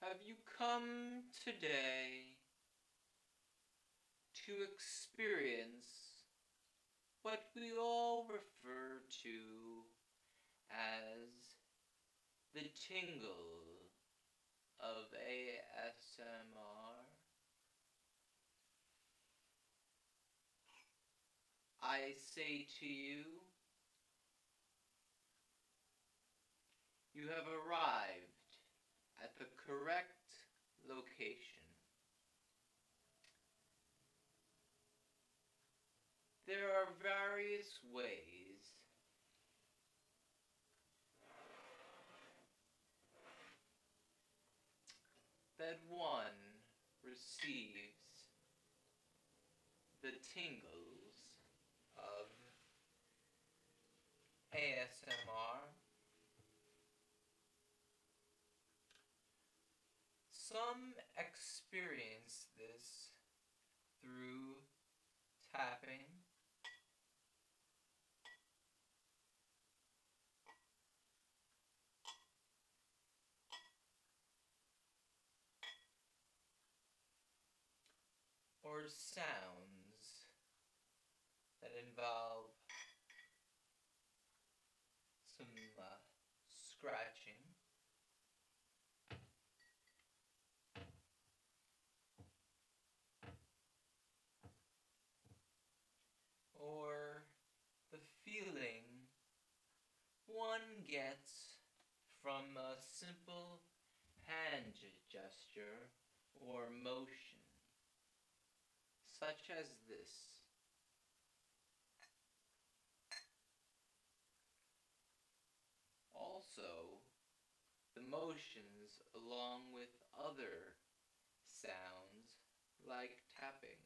Have you come today to experience what we all refer to as the tingle of ASMR. I say to you, you have arrived at the correct location. There are various ways that one receives the tingles of ASMR some experience this through tapping. or sounds that involve some uh, scratching. Or the feeling one gets from a simple hand gesture or motion such as this. Also, the motions along with other sounds like tapping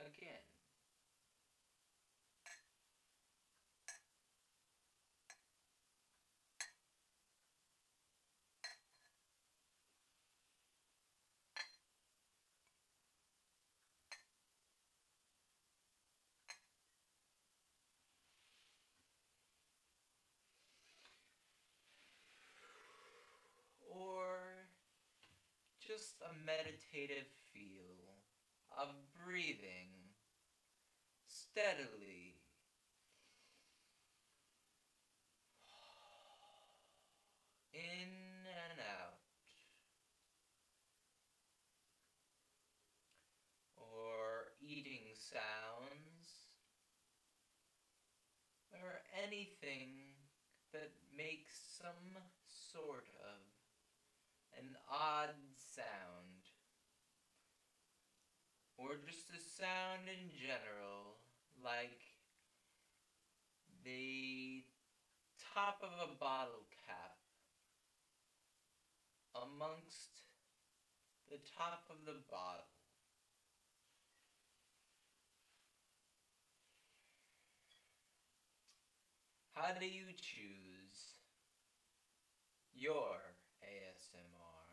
again. Or just a meditative feel of breathing steadily in and out. Or eating sounds. Or anything that makes some sort of an odd sound or just the sound in general, like the top of a bottle cap amongst the top of the bottle. How do you choose your ASMR?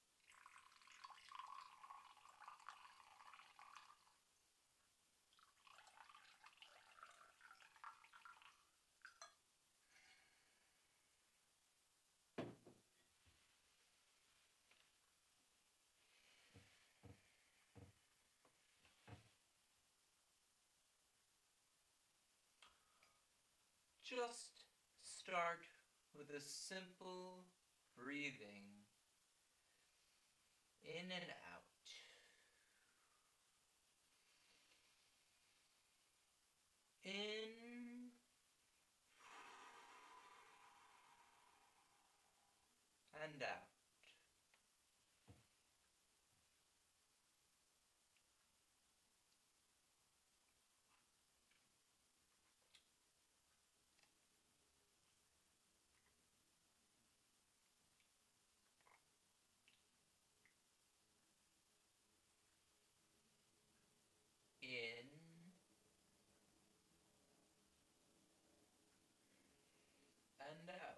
Just start with a simple breathing in and out. In and out in and out.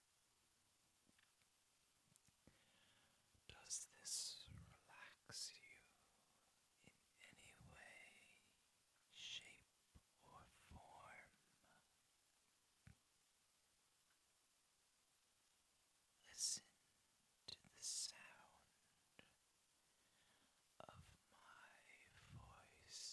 Does this relax you in any way, shape, or form? Listen to the sound of my voice.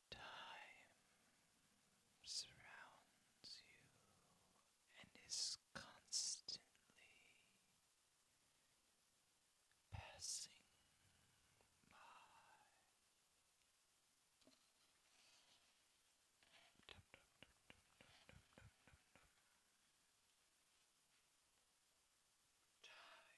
Time surrounds you and is constantly passing by. Dum, dum, dum, dum, dum, dum, dum, dum. Time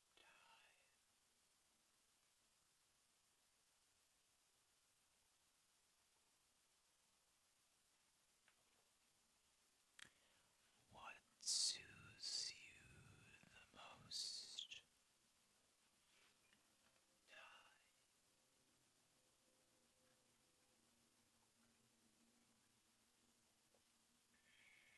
What soothes you the most? Time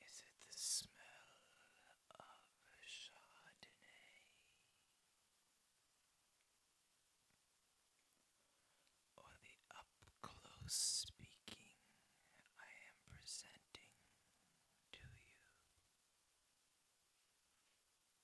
Is it the smell of Chardonnay? Or the up close speaking I am presenting to you?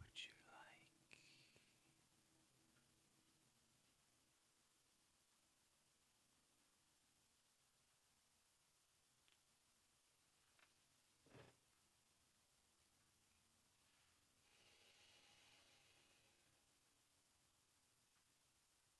Would you like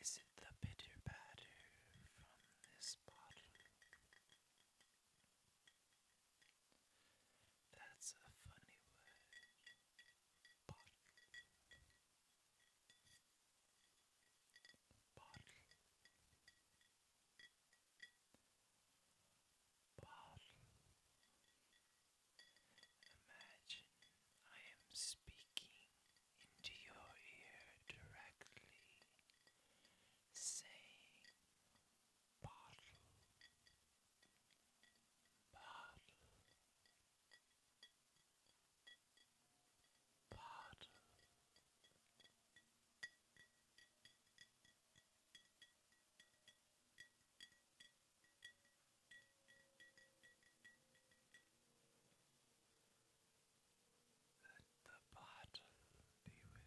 Is it the bitter patter from this bottle? That's a funny word. Bottle. Bottle. Bottle. Imagine I am speaking into your ear directly, saying, Bottle, bottle, bottle. Let the bottom be with you.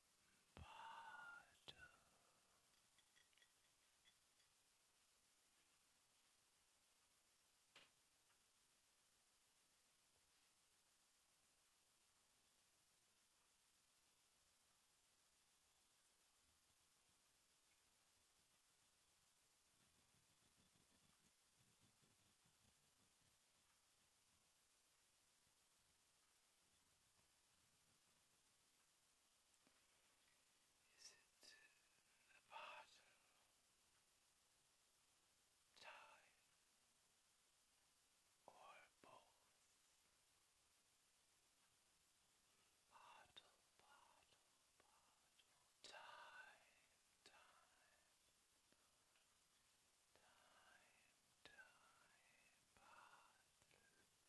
bottom. Is it the part time or both? Bottle, bottle, bottle, time, time, time, time, bottle.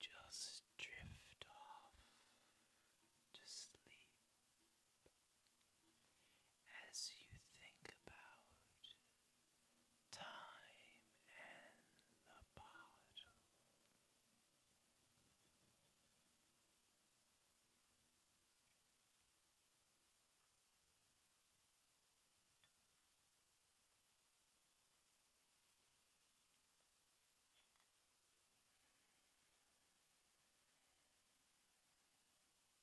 Just drift off to sleep. As you think about time and the bottle.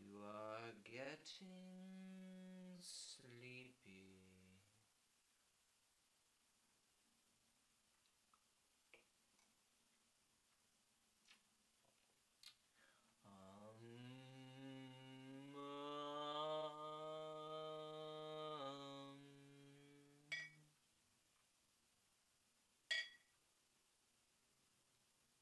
You are getting sleepy. Um, um,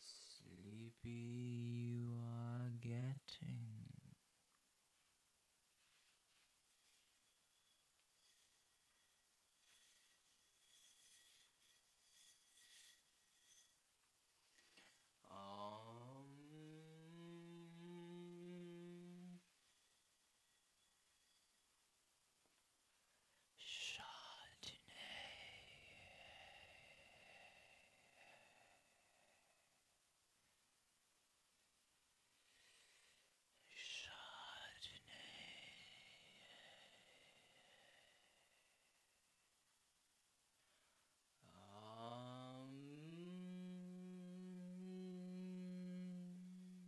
Sleepy you are getting. Um, Chardonnay. Chardonnay. Um,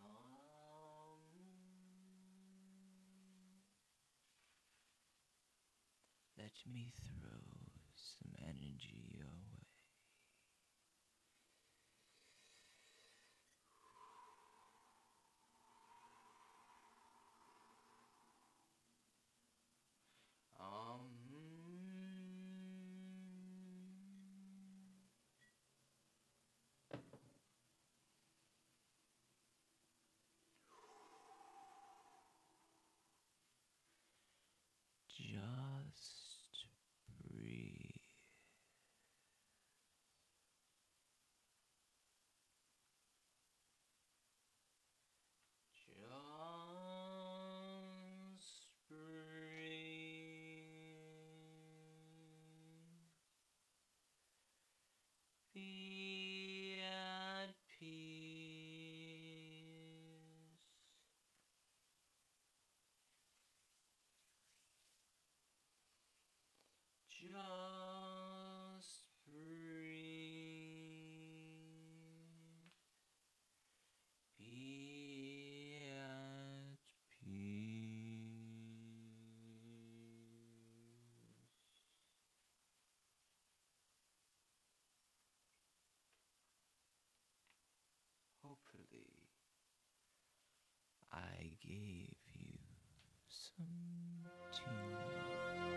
Um, let me throw some energy your way. Um. Just breathe. Just spring. Be at peace. Just breathe be peace. Hopefully, I gave you some tea.